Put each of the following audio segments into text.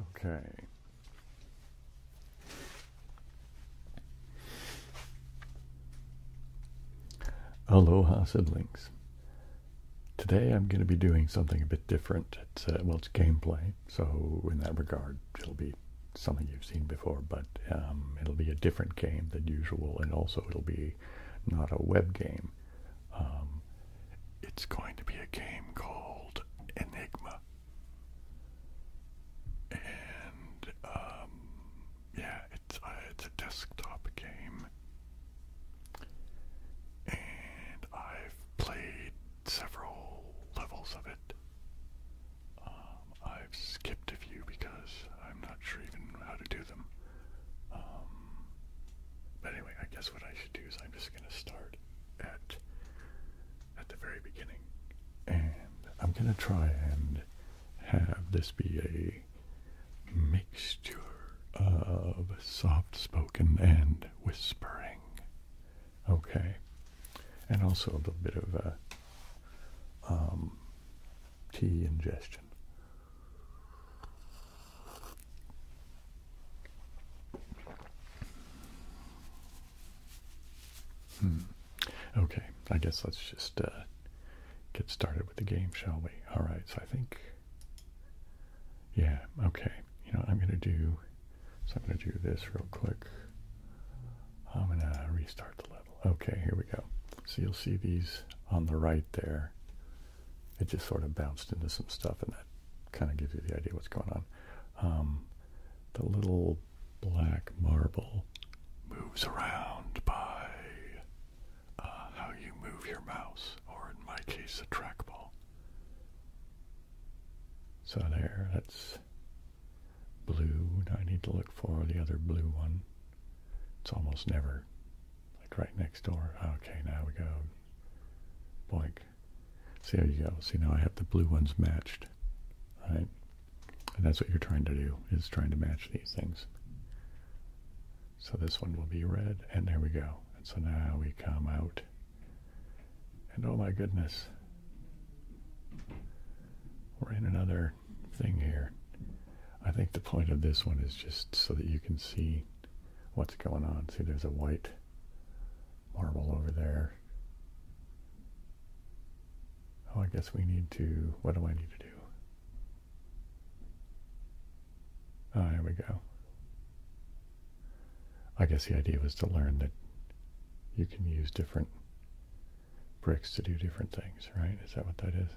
Okay. Aloha siblings. Today I'm going to be doing something a bit different. It's uh, well, it's gameplay, so in that regard, it'll be something you've seen before, but um, it'll be a different game than usual, and also it'll be not a web game. Um, it's going to be a game called Enigma. And um, yeah, it's uh, it's a desktop game, and I've played several levels of it. Um, I've skipped a few because I'm not sure even how to do them. Um, but anyway, I guess what I should do is I'm just gonna start at at the very beginning. And I'm gonna try and have this be a mixture of soft spoken and whispering. Okay. And also a little bit of a uh, um, tea ingestion. Hmm. Okay, I guess let's just uh, get started with the game, shall we? All right, so I think, yeah, okay. You know, I'm gonna do, so I'm gonna do this real quick. I'm gonna restart the level. Okay, here we go. So you'll see these on the right there. It just sort of bounced into some stuff and that kind of gives you the idea what's going on. Um, the little black marble moves around by uh, how you move your mouse, or in my case, the trackball. So there, that's blue. I need to look for the other blue one. It's almost never like right next door. Okay, now we go blank. See, how you go. See, now I have the blue ones matched, right? And that's what you're trying to do, is trying to match these things. So this one will be red, and there we go. And so now we come out. And oh my goodness, we're in another thing here. I think the point of this one is just so that you can see what's going on. See, there's a white marble over there. Oh, I guess we need to, what do I need to do? Oh, ah, there we go. I guess the idea was to learn that you can use different bricks to do different things, right? Is that what that is?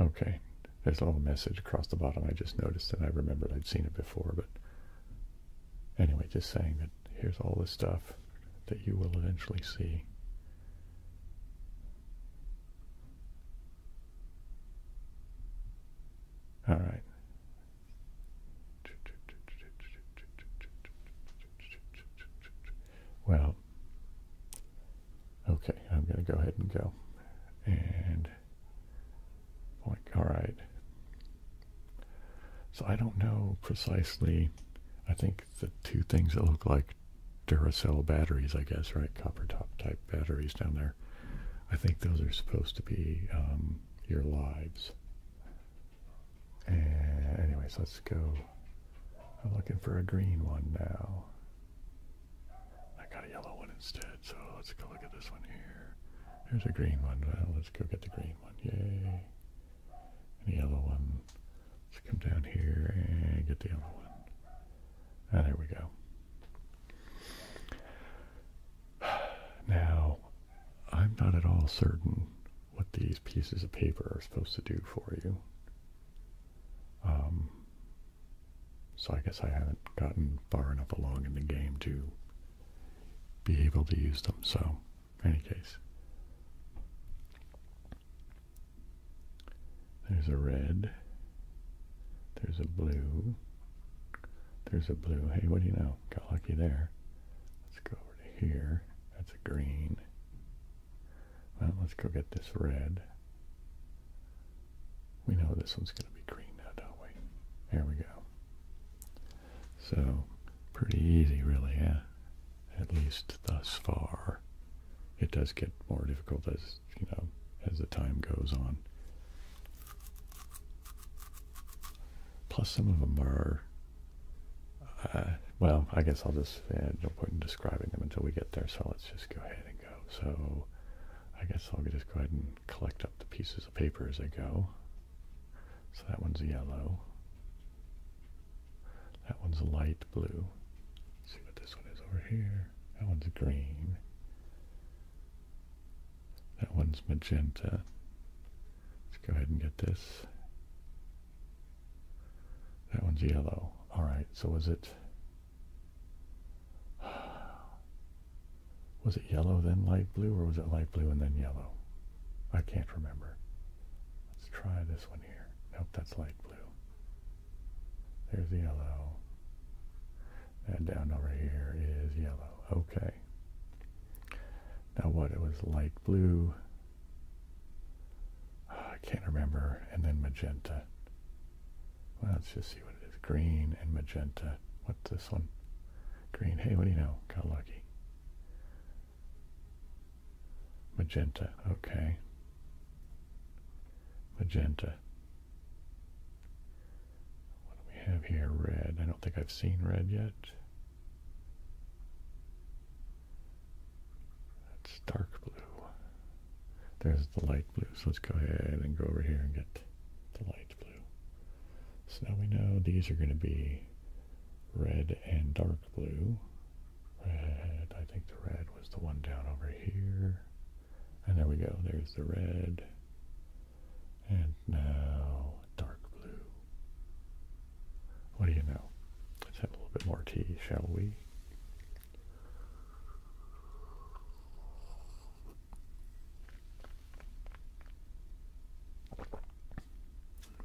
Okay, there's a little message across the bottom. I just noticed and I remembered I'd seen it before, but anyway, just saying that here's all the stuff that you will eventually see. All right. Well, Okay, I'm going to go ahead and go. And like, all right. So I don't know precisely. I think the two things that look like Duracell batteries, I guess, right? Copper top type batteries down there. I think those are supposed to be um, your lives. And anyways, let's go. I'm looking for a green one now. I got a yellow one instead, so let's go look at this one here. There's a green one. Well, let's go get the green one. Yay. And the yellow one. Let's come down here and get the yellow one. Ah, there we go. Now, I'm not at all certain what these pieces of paper are supposed to do for you. Um, so I guess I haven't gotten far enough along in the game to be able to use them. So, in any case, there's a red. There's a blue. There's a blue. Hey, what do you know? Got lucky there. Let's go over to here. That's a green. Well, let's go get this red. We know this one's going to be green now, don't we? There we go. So, pretty easy really, yeah? At least thus far. It does get more difficult as, you know, as the time goes on. Plus some of them are, uh, well, I guess I'll just, uh, no point in describing them until we get there, so let's just go ahead and so I guess I'll just go ahead and collect up the pieces of paper as I go. So that one's yellow. That one's light blue. see what this one is over here. That one's green. That one's magenta. Let's go ahead and get this. That one's yellow. Alright, so was it was it yellow then light blue or was it light blue and then yellow? I can't remember. Let's try this one here. Nope, that's light blue. There's yellow. And down over here is yellow. Okay. Now what? It was light blue. I can't remember, and then magenta. let's just see what it is. Green and magenta. What's this one? Green. Hey, what do you know? Got lucky. Magenta. Okay. Magenta. What do we have here? Red. I don't think I've seen red yet. That's dark blue. There's the light blue. So let's go ahead and go over here and get the light blue. So now we know these are going to be red and dark blue. Red, I think the red was the one down over here. And there we go. There's the red. And now dark blue. What do you know? Let's have a little bit more tea, shall we?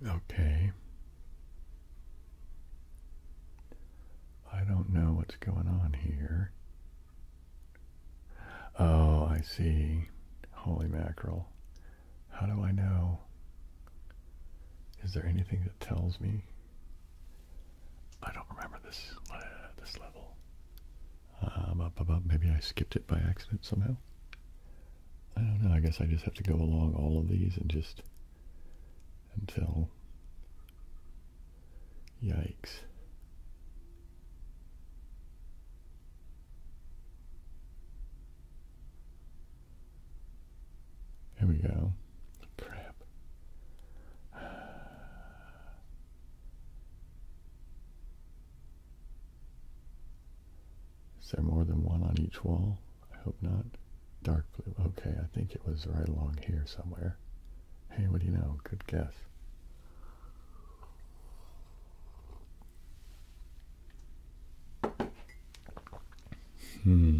Okay. I don't know what's going on here. Oh, I see. Holy mackerel. How do I know? Is there anything that tells me? I don't remember this uh, this level. Um, maybe I skipped it by accident somehow. I don't know. I guess I just have to go along all of these and just until. Yikes. Here we go crap. is there more than one on each wall? I hope not. Dark blue. Okay, I think it was right along here somewhere. Hey, what do you know? Good guess. Hmm.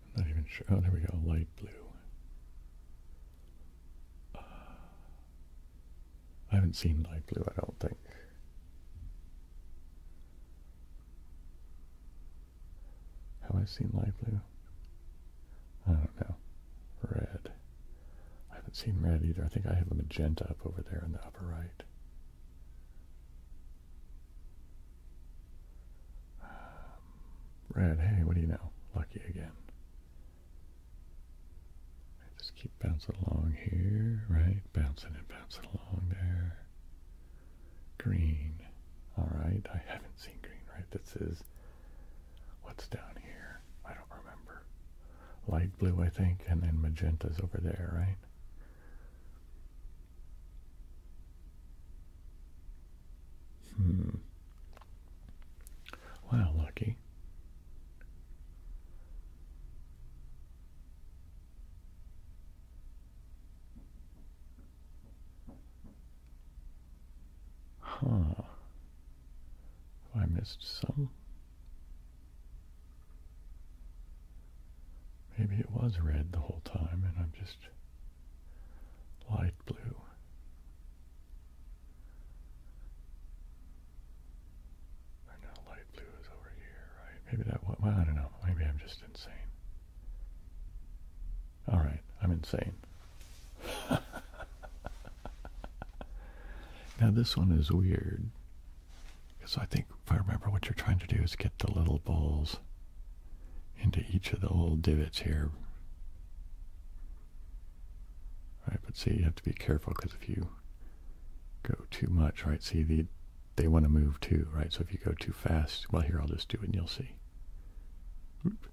not even sure. Oh, there we go. Light blue. Uh, I haven't seen light blue, I don't think. Have I seen light blue? I don't know. Red. I haven't seen red either. I think I have a magenta up over there in the upper right. Um, red, hey, what do you know? Lucky again. just keep bouncing along here, right? Bouncing and bouncing along there. Green. Alright, I haven't seen green, right? This is what's down here. I don't remember. Light blue, I think, and then magenta's over there, right? Hmm. Wow, lucky. Huh. I missed some? Maybe it was red the whole time and I'm just light blue. Or no, light blue is over here, right? Maybe that, well, I don't know. Maybe I'm just insane. All right, I'm insane. now this one is weird. Because I think if I remember what you're trying to do is get the little balls into each of the little divots here. All right, but see, you have to be careful because if you go too much, right, see, the, they want to move too, right? So if you go too fast, well, here, I'll just do it and you'll see. Oop.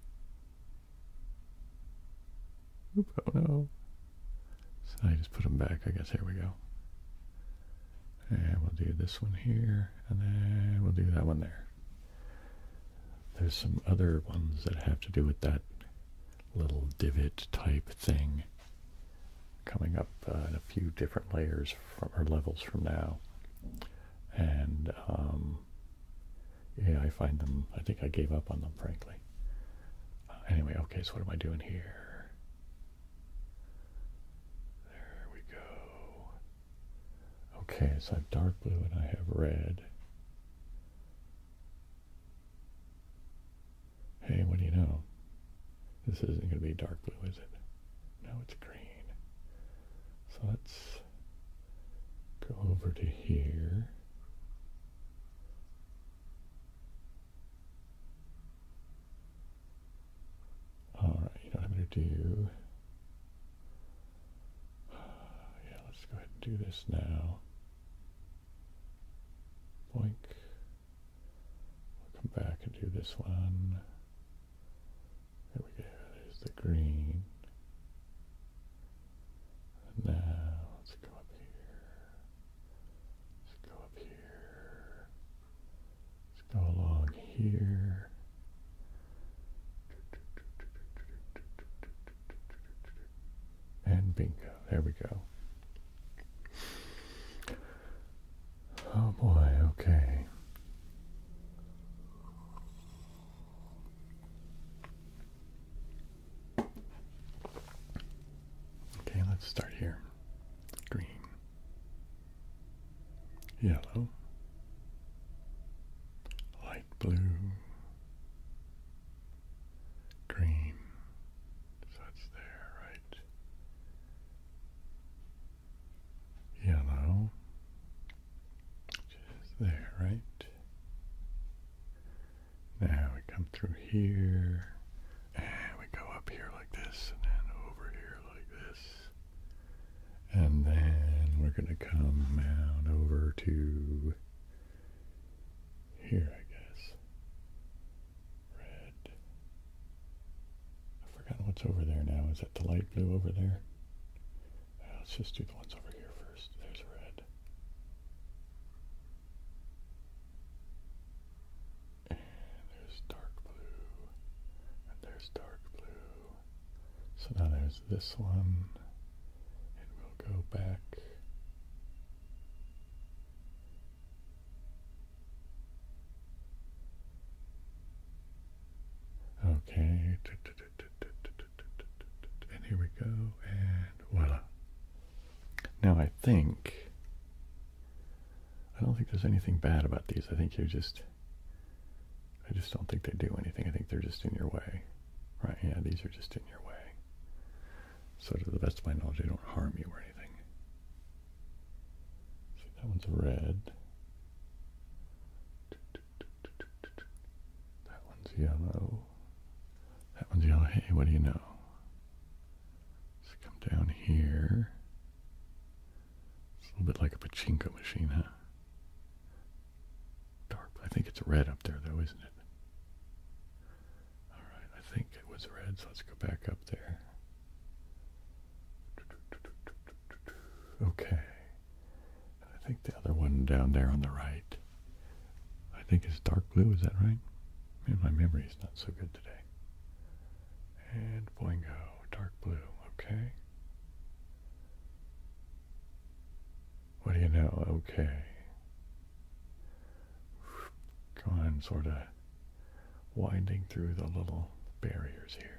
oh no. So I just put them back, I guess. Here we go. And we'll do this one here, and then we'll do that one there. There's some other ones that have to do with that little divot type thing coming up uh, in a few different layers or levels from now. And um, yeah, I find them, I think I gave up on them, frankly. anyway, okay, so what am I doing here? There we go. Okay, so I have dark blue and I have red. Hey, what do you know? This isn't going to be dark blue, is it? No, it's green. So let's go over to here. All right, you know what I'm going to do Yeah, let's go ahead and do this now. Boink. We'll come back and do this one. There we go, there's the green. now let's go up here. Let's go up here. Let's go along here. And bingo. There we go. Oh boy, okay. Okay, let's start here. Green, yellow, light blue, green. So it's there, right? Yellow, which there, right? Now we come through here, and we go up here like this, and then over here like this. And then we're going to come down over to here, I guess. Red. I forgotten what's over there now. Is that the light blue over there? Uh, let's just do the ones over here first. There's red. And there's dark blue. And there's dark blue. So now there's this one, and we'll go back. Okay, and here we go, and voila. Now I think, I don't think there's anything bad about these. I think you just I just don't think they do anything. I think they're just in your way. Right? Yeah, these are just in your way. So to the best of my knowledge, they don't harm you or anything. See, that one's red. That one's yellow. That one's yellow. Hey, what do you know? Let's come down here. It's a little bit like a pachinko machine, huh? Dark. I think it's red up there, though, isn't it? All right. I think it was red, so let's go back up there. Okay. I think the other one down there on the right, I think it's dark blue. Is that right? Maybe my memory is not so good today. And boingo dark blue, okay. What do you know? Okay. Go on, sort of winding through the little barriers here.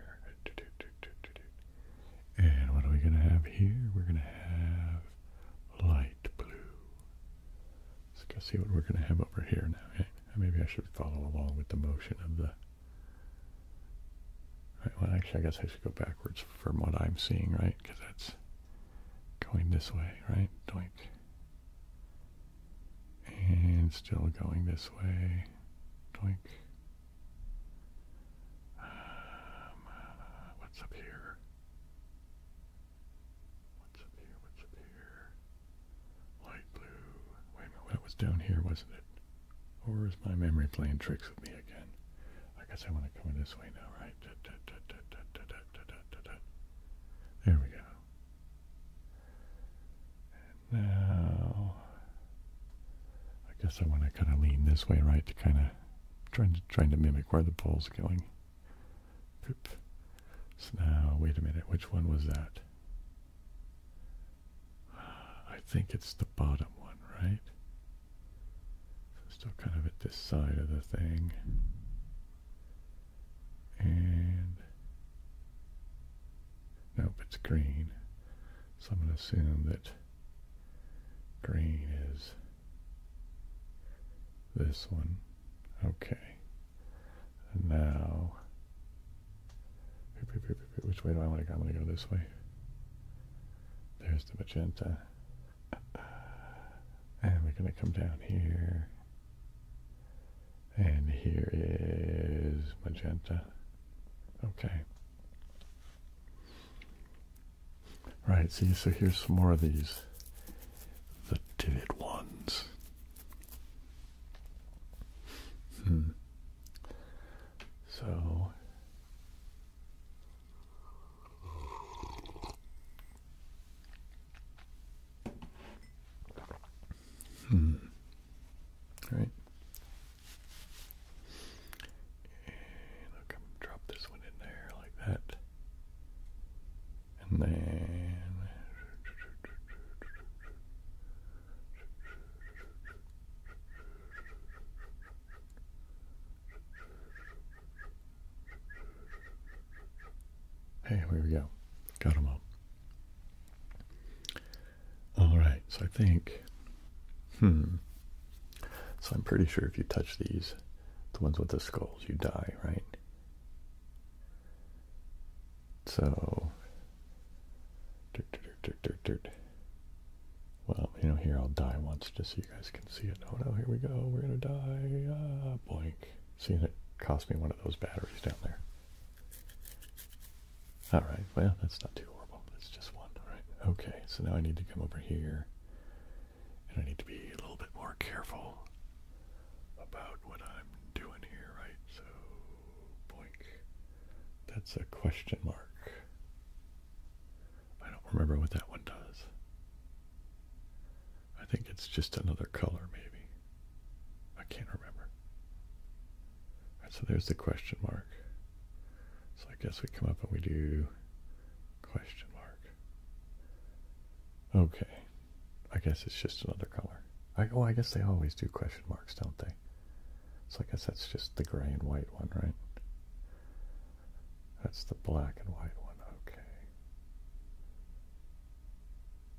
And what are we going to have here? We're going to have light blue. Let's go see what we're going to have over here now. Eh? Maybe I should follow along with the motion of the well, actually, I guess I should go backwards from what I'm seeing, right? Because that's going this way, right? Doink. And still going this way. Doink. Um, what's up here? What's up here? What's up here? Light blue. Wait a minute, that was down here, wasn't it? Or is my memory playing tricks with me again? I guess I want to come in this way now, right? There we go. now, I guess I want to kind of lean this way, right, to kind of trying to trying to mimic where the ball's going. So now, wait a minute, which one was that? I think it's the bottom one, right? still kind of at this side of the thing. And nope, it's green. So I'm going to assume that green is this one. Okay. And now which way do I want to go? I'm going to go this way. There's the magenta. And we're going to come down here. And here is magenta. Okay. Right, see, so here's some more of these. The vivid ones. Hmm. So, Hmm. All right. And look, i drop this one in there like that, and then. Hey, here we go. Got them all. All right, so I think, hmm. So I'm pretty sure if you touch these, the ones with the skulls, you die, right? So, well, you know, here I'll die once just so you guys can see it. Oh no, here we go. We're gonna die. Ah, boink. See, that cost me one of those batteries down there. Alright, well, that's not too horrible. That's just one. Alright, okay. So now I need to come over here and I need to be a little bit more careful about what I'm doing here, right? So, boink. That's a question mark. I don't remember what that one does. I think it's just another color, maybe. I can't remember. so there's the question mark. So I guess we come up and we do question mark. Okay. I guess it's just another color. oh, I guess they always do question marks, don't they? So I guess that's just the gray and white one, right? That's the black and white one, okay.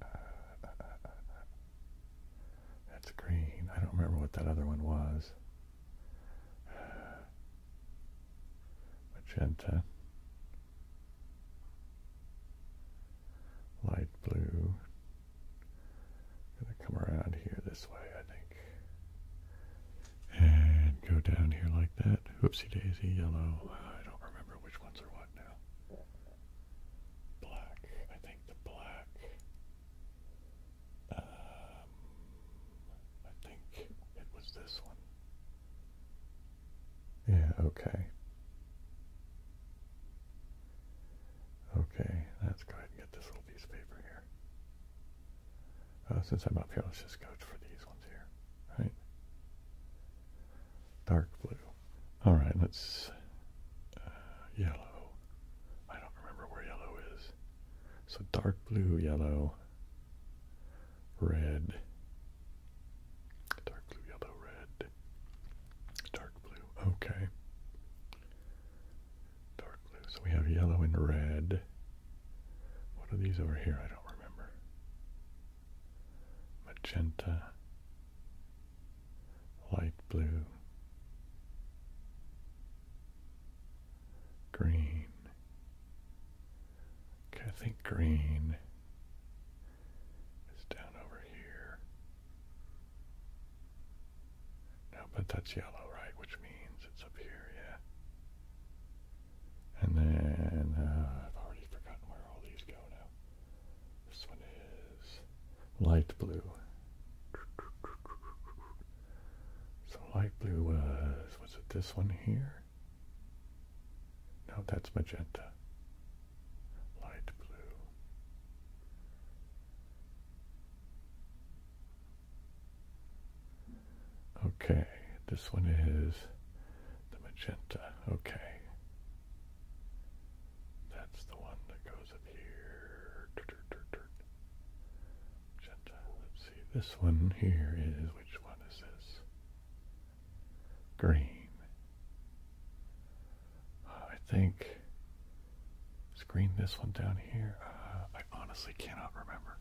Uh, that's green. I don't remember what that other one was. Uh, magenta. Light blue. Gonna come around here this way, I think. And go down here like that. Whoopsie daisy, yellow. I don't remember which ones are what now. Black. I think the black. Um, I think it was this one. Yeah, okay. Okay, let's go ahead and get this little piece of paper here. Uh, since I'm up here, let's just go for these ones here, right? Dark blue. All right, let's, uh, yellow. I don't remember where yellow is. So dark blue, yellow, red, dark blue, yellow, red, dark blue, okay dark blue. So we have yellow and red. What are these over here? I don't remember. Magenta, light blue, green. Okay, I think green is down over here. No, but that's yellow, right? Which means it's up here, yeah. And then, uh, I've already forgotten where all these go now. This one is light blue. So light blue was, was it this one here? No, that's magenta. Light blue. Okay, this one is the magenta. Okay. That's the one that goes up here. Magenta. Let's see. This one here is which one is this? Green. I think Screen this one down here. Uh, I honestly cannot remember.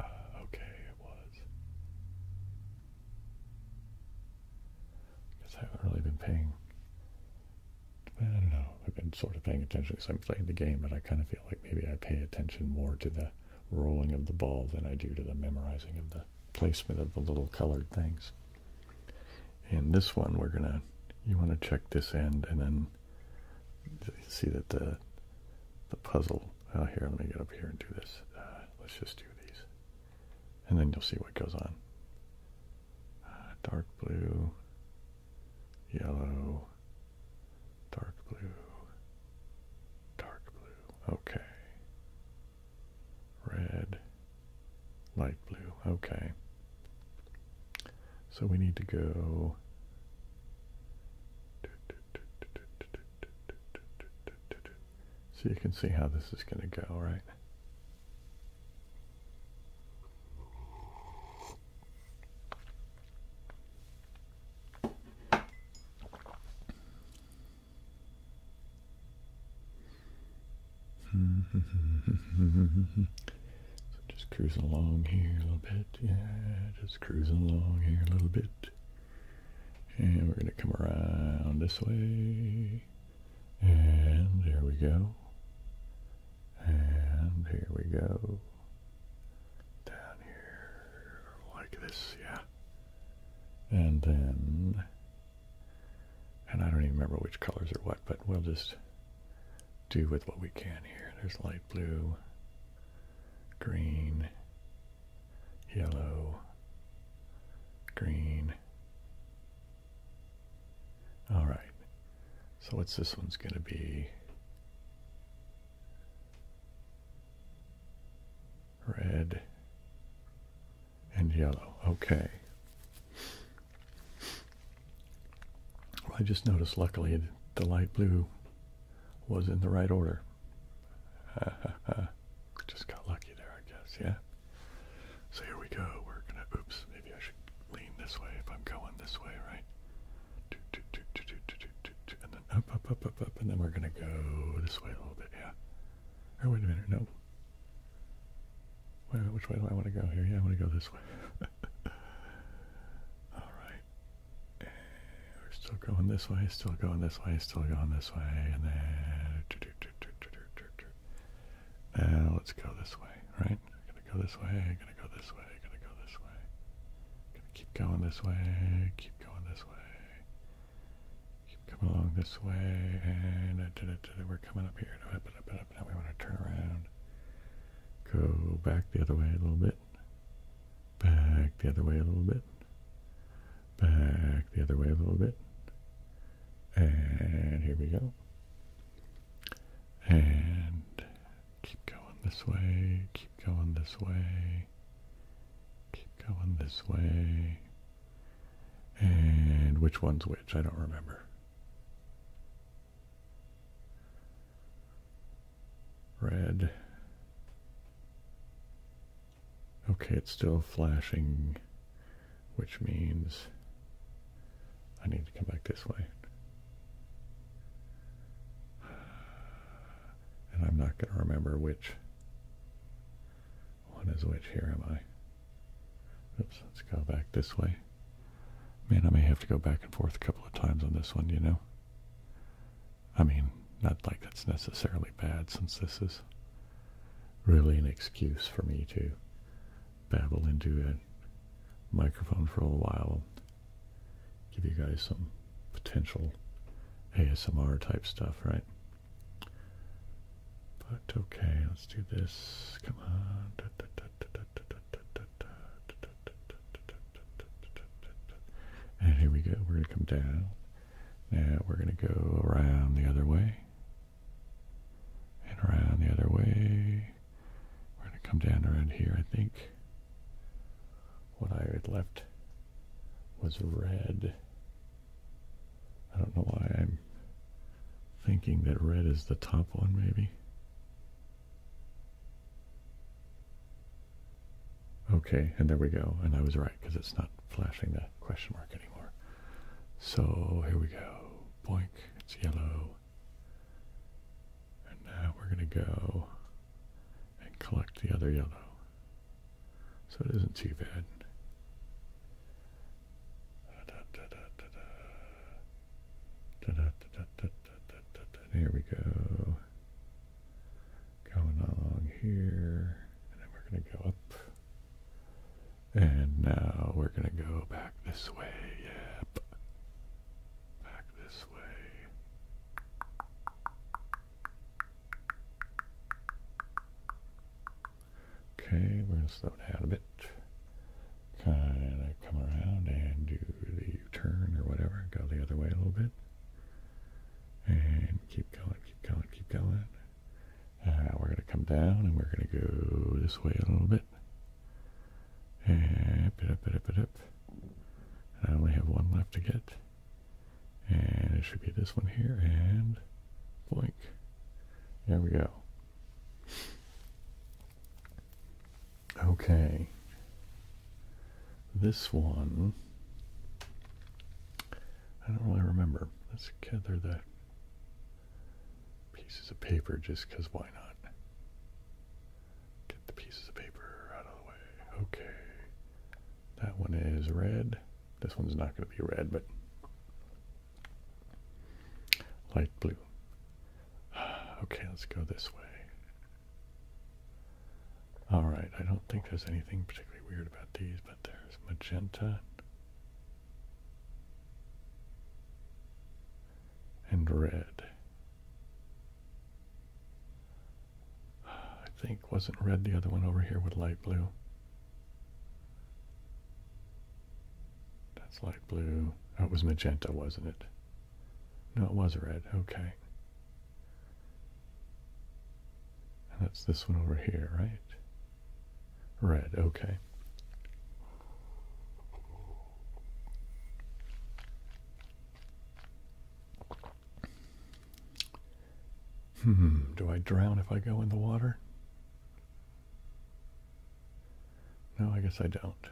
Uh, okay, it was. I I haven't really been paying. I don't know. I've been sort of paying attention because I'm playing the game, but I kind of feel like maybe I pay attention more to the rolling of the ball than I do to the memorizing of the placement of the little colored things. In this one, we're going to, you want to check this end and then you see that the the puzzle. Oh, here let me get up here and do this. Uh, let's just do these, and then you'll see what goes on. Uh, dark blue, yellow, dark blue, dark blue. Okay. Red, light blue. Okay. So we need to go. So you can see how this is going to go, right? just cruising along here a little bit. Yeah, just cruising along here a little bit. And we're going to come around this way. And there we go. And here we go. Down here like this, yeah. And then, and I don't even remember which colors or what, but we'll just do with what we can here. There's light blue, green, yellow, green. All right. So what's this one's going to be? Red and yellow. Okay. I just noticed, luckily, the light blue was in the right order. just got lucky there, I guess, yeah? So here we go. We're gonna, oops, maybe I should lean this way if I'm going this way, right? And then up, up, up, up, up, and then we're gonna go this way a little bit, yeah? Or oh, wait a minute, no. Wait, which way do I want to go here? Yeah, I want to go this way. Alright. We're still going this way, still going this way, still going this way, and then. Now let's go this way, right? Gonna go this way, gonna go this way, gonna go this way. Gonna keep going this way, keep going this way. Keep coming along this way, and we're coming up here. Now we want to turn around. Go back the other way a little bit. Back the other way a little bit. Back the other way a little bit. And here we go. And keep going this way. Keep going this way. Keep going this way. And which one's which? I don't remember. Red. Okay, it's still flashing, which means I need to come back this way. And I'm not going to remember which one is which. Here am I. Oops, let's go back this way. Man, I may have to go back and forth a couple of times on this one, you know? I mean, not like that's necessarily bad since this is really an excuse for me to babble into a microphone for a while and give you guys some potential ASMR type stuff, right? But okay, let's do this. Come on. And here we go. We're going to come down. Now we're going to go around the other way. And around the other way. We're going to come down around here, I think. What I had left was red. I don't know why I'm thinking that red is the top one, maybe. Okay, and there we go. And I was right because it's not flashing the question mark anymore. So here we go. Boink, it's yellow. And now we're going to go and collect the other yellow. So it isn't too bad. Here we go. Going along here. And then we're going to go up. And now we're going to go back this way. Yep. Back this way. Okay, we're going to slow down a bit kind of come around and do the U-turn or whatever, go the other way a little bit, and keep going, keep going, keep going. Now uh, we're going to come down and we're going to go this way a little bit. And up it up it up it up. I only have one left to get. And it should be this one here and blink. There we go. Okay. This one. I don't really remember. Let's gather the pieces of paper just because why not? Get the pieces of paper out of the way. Okay. That one is red. This one's not going to be red, but light blue. okay, let's go this way. Alright, I don't think there's anything particularly weird about these, but there's magenta and red. I think wasn't red the other one over here with light blue. That's light blue. That was magenta, wasn't it? No, it was red. Okay. that's this one over here, right? Red. Okay. Hmm, do I drown if I go in the water? No, I guess I don't.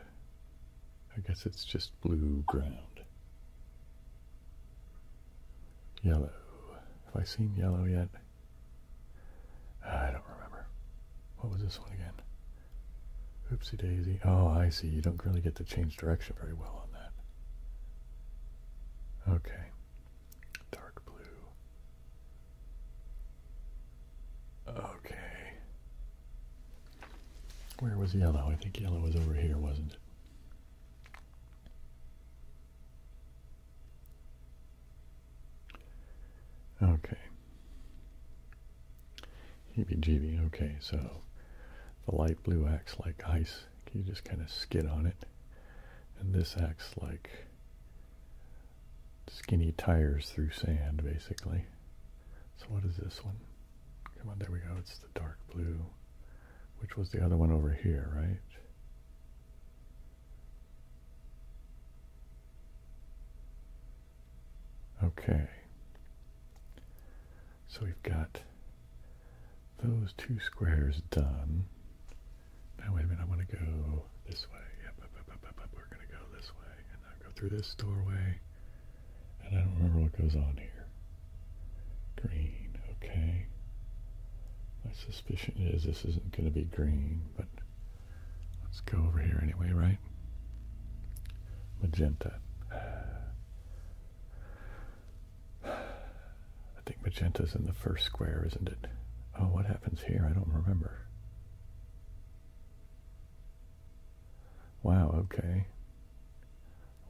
I guess it's just blue ground. Yellow. Have I seen yellow yet? I don't remember. What was this one again? Oopsie daisy. Oh, I see. You don't really get to change direction very well on that. Okay. Dark blue. Okay. Where was yellow? I think yellow was over here, wasn't it? Okay. Heebie-jeebie. Okay, so the light blue acts like ice. You just kind of skid on it. And this acts like skinny tires through sand, basically. So what is this one? Come on, there we go. It's the dark blue, which was the other one over here, right? Okay. So we've got those two squares done. Now wait a minute, I want to go this way. up, up, up, up, up. We're going to go this way now go through this doorway. And I don't remember what goes on here. Green, okay. My suspicion is this isn't going to be green, but let's go over here anyway, right? Magenta. I think magenta's in the first square, isn't it? Oh, what happens here? I don't remember. Wow, okay.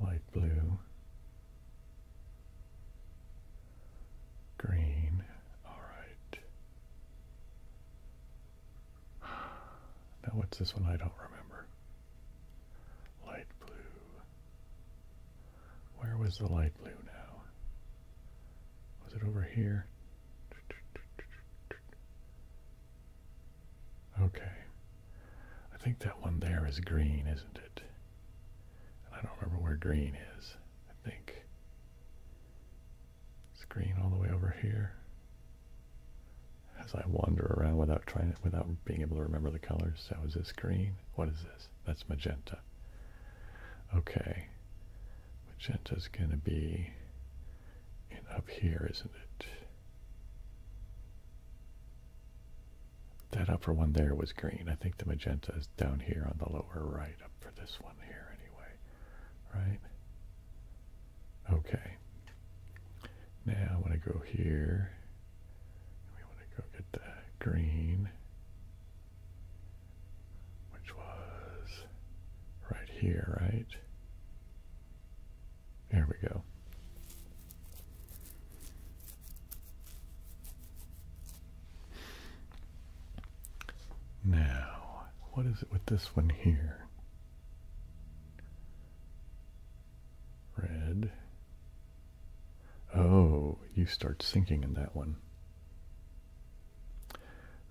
Light blue, green, all right. Now, what's this one? I don't remember. Light blue. Where was the light blue now? Was it over here? Okay. I think that one there is green, isn't it? I don't remember where green is. I think it's green all the way over here. As I wander around without trying to, without being able to remember the colors. So is this green? What is this? That's magenta. Okay. magenta is gonna be up here, isn't it? That upper one there was green. I think the magenta is down here on the lower right, up for this one here anyway. Right? Okay. Now I want to go here. We want to go get the green, which was right here, right? There we go. Now, what is it with this one here? Red. Oh, you start sinking in that one.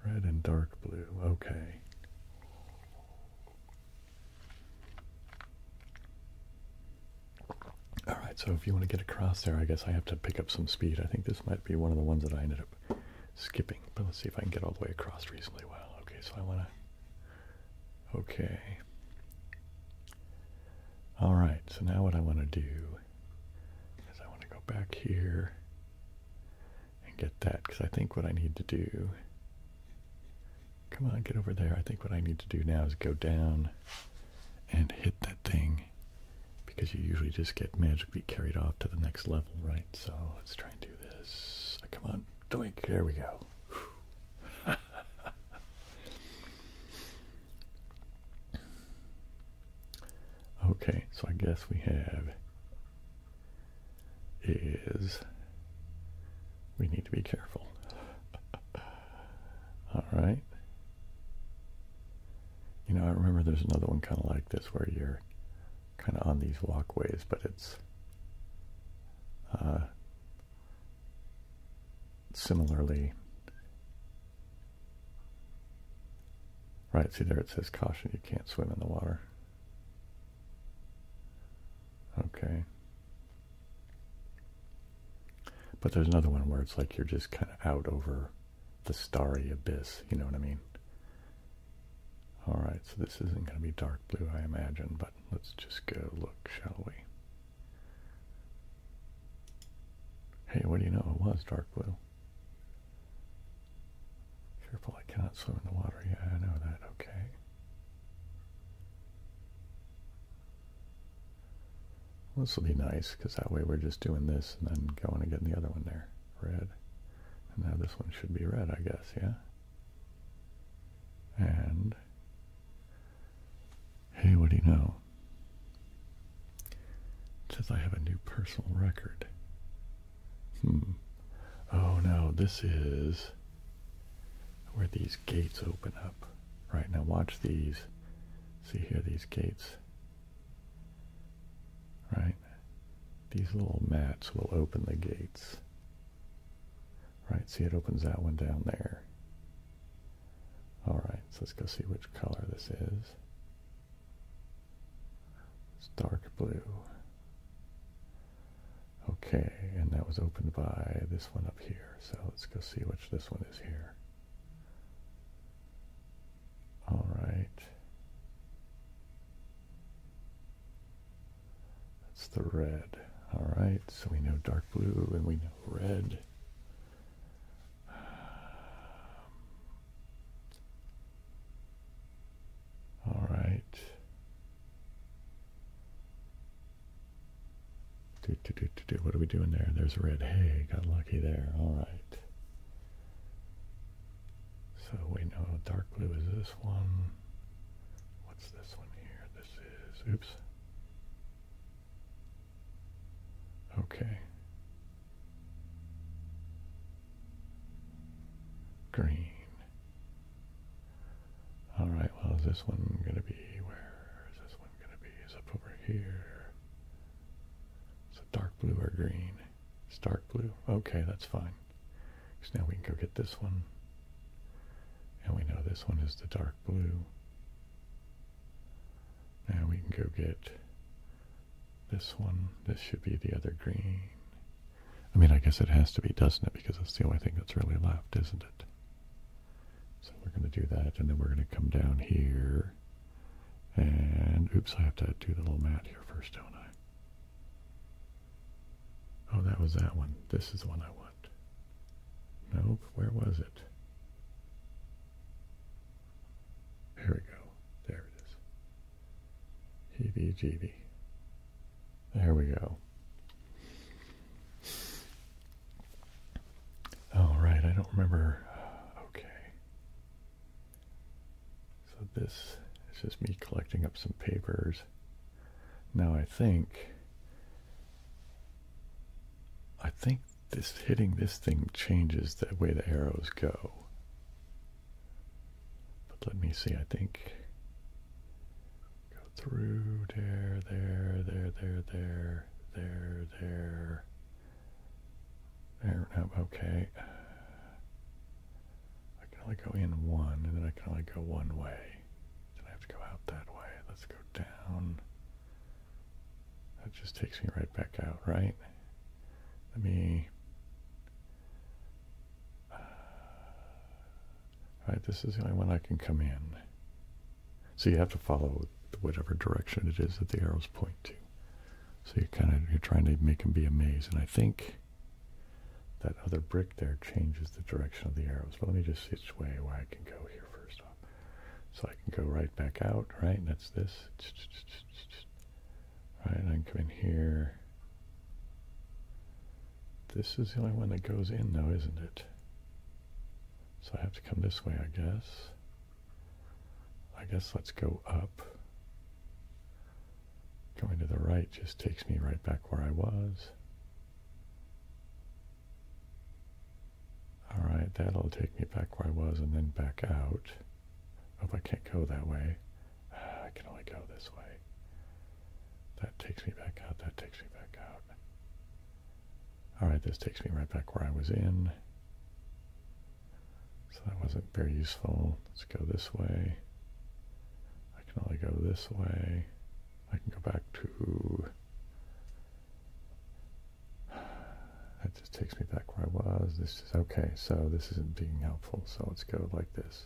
Red and dark blue. Okay. All right, so if you want to get across there, I guess I have to pick up some speed. I think this might be one of the ones that I ended up skipping, but let's see if I can get all the way across reasonably well. Okay, so I want to, okay. All right, so now what I want to do is I want to go back here and get that because I think what I need to do. Come on, get over there. I think what I need to do now is go down and hit that thing because you usually just get magically carried off to the next level, right? So let's try and do this. Ah, come on, doink. There we go. okay, so I guess we have is we need to be careful. All right. You know, I remember there's another one kind of like this where you're kind of on these walkways, but it's uh, similarly. Right, see there it says caution, you can't swim in the water. Okay. But there's another one where it's like you're just kind of out over the starry abyss, you know what I mean? Alright, so this isn't going to be dark blue, I imagine, but let's just go look, shall we? Hey, what do you know? It was dark blue. Careful, I cannot swim in the water. Yeah, I know that. Okay this will be nice because that way we're just doing this and then going and getting the other one there, red. And now this one should be red, I guess, yeah? And, hey, what do you know? says I have a new personal record. Hmm. Oh no, this is where these gates open up. Right now, watch these. See here, these gates. Right? These little mats will open the gates. Right? See, it opens that one down there. All right, so let's go see which color this is. It's dark blue. Okay, and that was opened by this one up here. So let's go see which this one is here. All right. That's the red. All right, so we know dark blue and we know red. all right. What are we doing there? There's red. Hey, got lucky there. All right. So we know dark blue is this one. What's this one here? This is, oops. Okay. Green. All right, well, is this one going to be where? Is this one going to be? Is it over here. Is it dark blue or green? It's dark blue. Okay, that's fine. So now we can go get this one. And we know this one is the dark blue. Now we can go get this one. This should be the other green. I mean, I guess it has to be, doesn't it? Because that's the only thing that's really left, isn't it? So we're going to do that, and then we're going to come down here. And, oops, I have to do the little mat here first, don't I? Oh, that was that one. This is the one I want. Nope, where was it? Here we go. There it is. Heebie there we go. All right, I don't remember. Okay. So this is just me collecting up some papers. Now I think. I think this hitting this thing changes the way the arrows go. But let me see, I think Go through there, there, there, there, there, there, there. There, okay. I can only go in one, and then I can only go one way. Then I have to go out that way. Let's go down. That just takes me right back out, right? Let me uh, right, this is the only one I can come in. So you have to follow whatever direction it is that the arrows point to. So you kind of you're trying to make them be a maze, and I think that other brick there changes the direction of the arrows. But let me just see which way I can go here first off. So I can go right back out, right? And that's this. Right, and I can come in here. This is the only one that goes in though, isn't it? So I have to come this way, I guess. I guess let's go up. Going to the right just takes me right back where I was. Alright, that'll take me back where I was and then back out. Oh, I can't go that way. Ah, I can only go this way. That takes me back out. That takes me back out. All right, this takes me right back where I was in. So that wasn't very useful. Let's go this way. I can only go this way. I can go back to... That just takes me back where I was. This is okay, so this isn't being helpful, so let's go like this.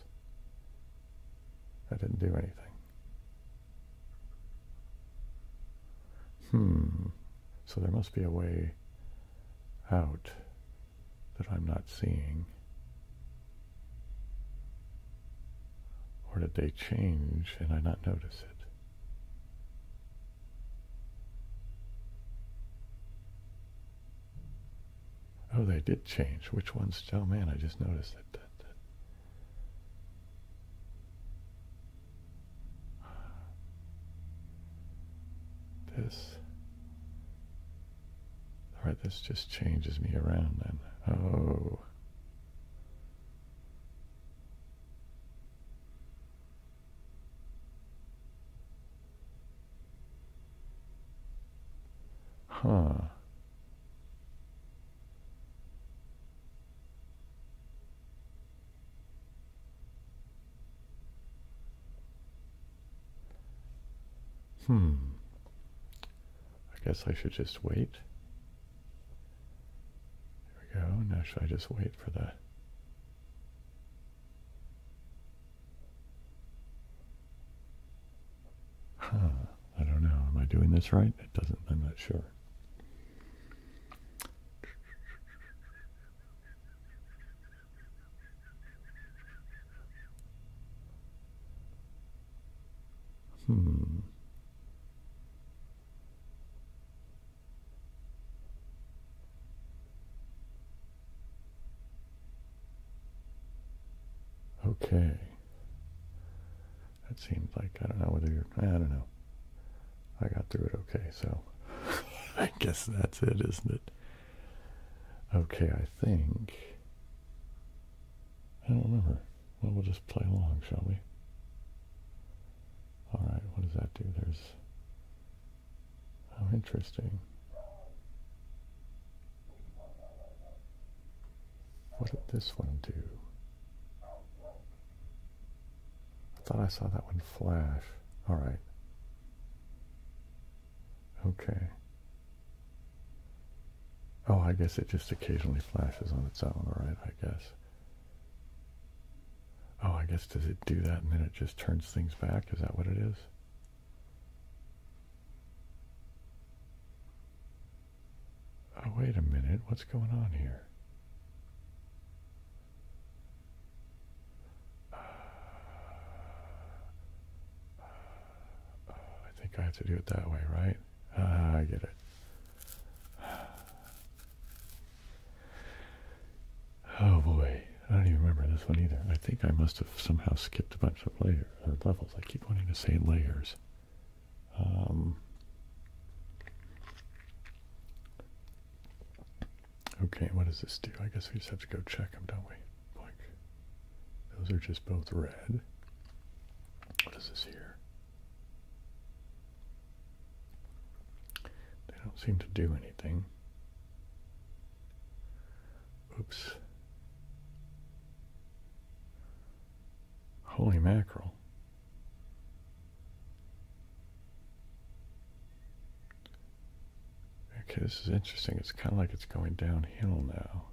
I didn't do anything. Hmm. So there must be a way out that I'm not seeing. Or did they change and I not notice it? Oh, they did change. Which ones? Oh man, I just noticed that. This. Alright, this just changes me around then. Oh. Huh. Hmm. I guess I should just wait. There we go. Now should I just wait for the... Huh. I don't know. Am I doing this right? It doesn't. I'm not sure. Hmm. Okay. That seems like, I don't know whether you're, I don't know. I got through it okay, so I guess that's it, isn't it? Okay, I think. I don't remember. Well, we'll just play along, shall we? All right, what does that do? There's. How oh, interesting. What did this one do? I thought I saw that one flash. All right. Okay. Oh, I guess it just occasionally flashes on its own, all right, I guess. Oh, I guess does it do that and then it just turns things back? Is that what it is? Oh, wait a minute. What's going on here? I think I have to do it that way, right? Ah, I get it. Oh boy, I don't even remember this one either. I think I must have somehow skipped a bunch of layers or levels. I keep wanting to say layers. Um, okay, what does this do? I guess we just have to go check them, don't we? those are just both red. What is this here? They don't seem to do anything. Oops. Holy mackerel. Okay, this is interesting. It's kind of like it's going downhill now.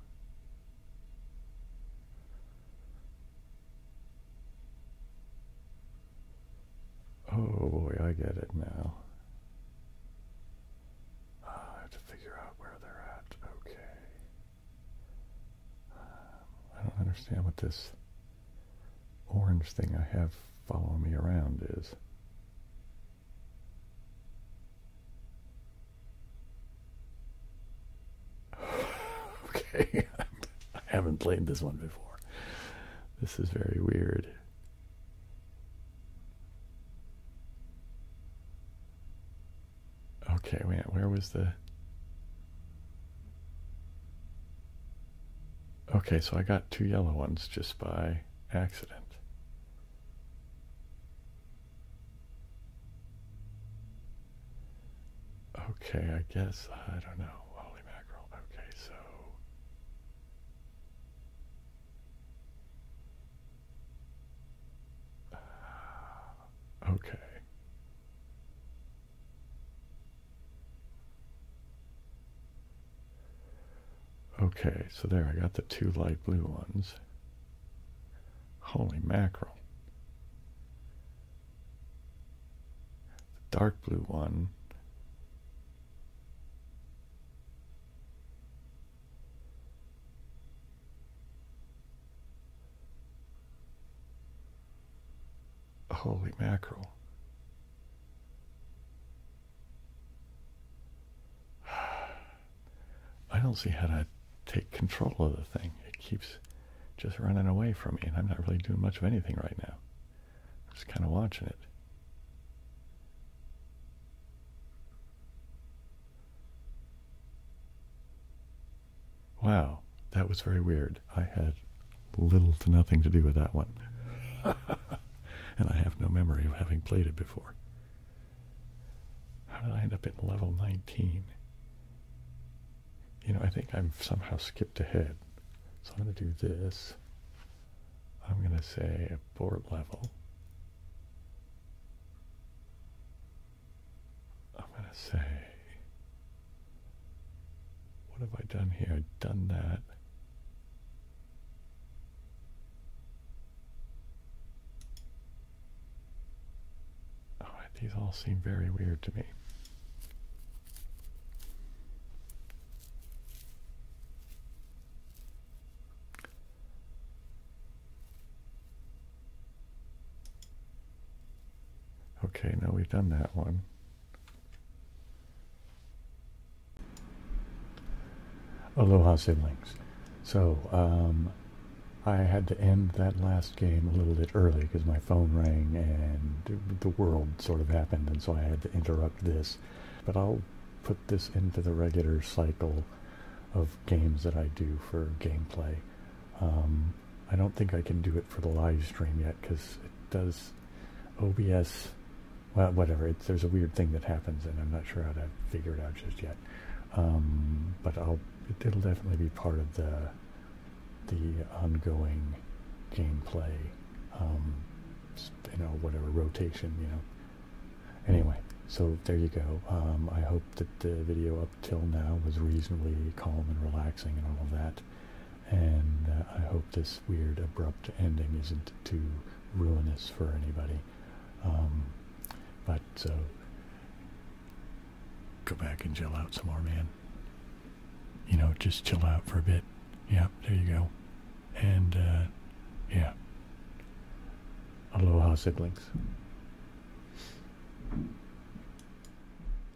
Oh boy, I get it now. Ah, I have to figure out where they're at. Okay. I don't understand what this orange thing I have following me around is. okay, I haven't played this one before. This is very weird. Okay, where was the. Okay, so I got two yellow ones just by accident. Okay, I guess, I don't know. Holy mackerel. Okay, so. Okay. Okay, so there I got the two light blue ones. Holy mackerel. The dark blue one a Holy mackerel. I don't see how to take control of the thing. It keeps just running away from me, and I'm not really doing much of anything right now. I'm just kind of watching it. Wow, that was very weird. I had little to nothing to do with that one. and I have no memory of having played it before. How did I end up at level 19? You know, I think I've somehow skipped ahead. So I'm going to do this. I'm going to say abort level. I'm going to say, what have I done here? I've done that. these all seem very weird to me. Okay, now we've done that one. Aloha siblings. So, um, I had to end that last game a little bit early because my phone rang and the world sort of happened, and so I had to interrupt this. But I'll put this into the regular cycle of games that I do for gameplay. Um, I don't think I can do it for the live stream yet because it does OBS. whatever. there's a weird thing that happens, and I'm not sure how to figure it out just yet. Um, but I'll it'll definitely be part of the the ongoing gameplay. Um, you know, whatever rotation. You know. Anyway, so there you go. I hope that the video till now was reasonably calm and relaxing and all of that. And uh, I hope this weird abrupt ending isn't too ruinous for anybody. Um, but so, uh, go back and chill out some more, man. You know, just chill out for a bit. Yeah, there you go. And, uh, yeah. Aloha, siblings.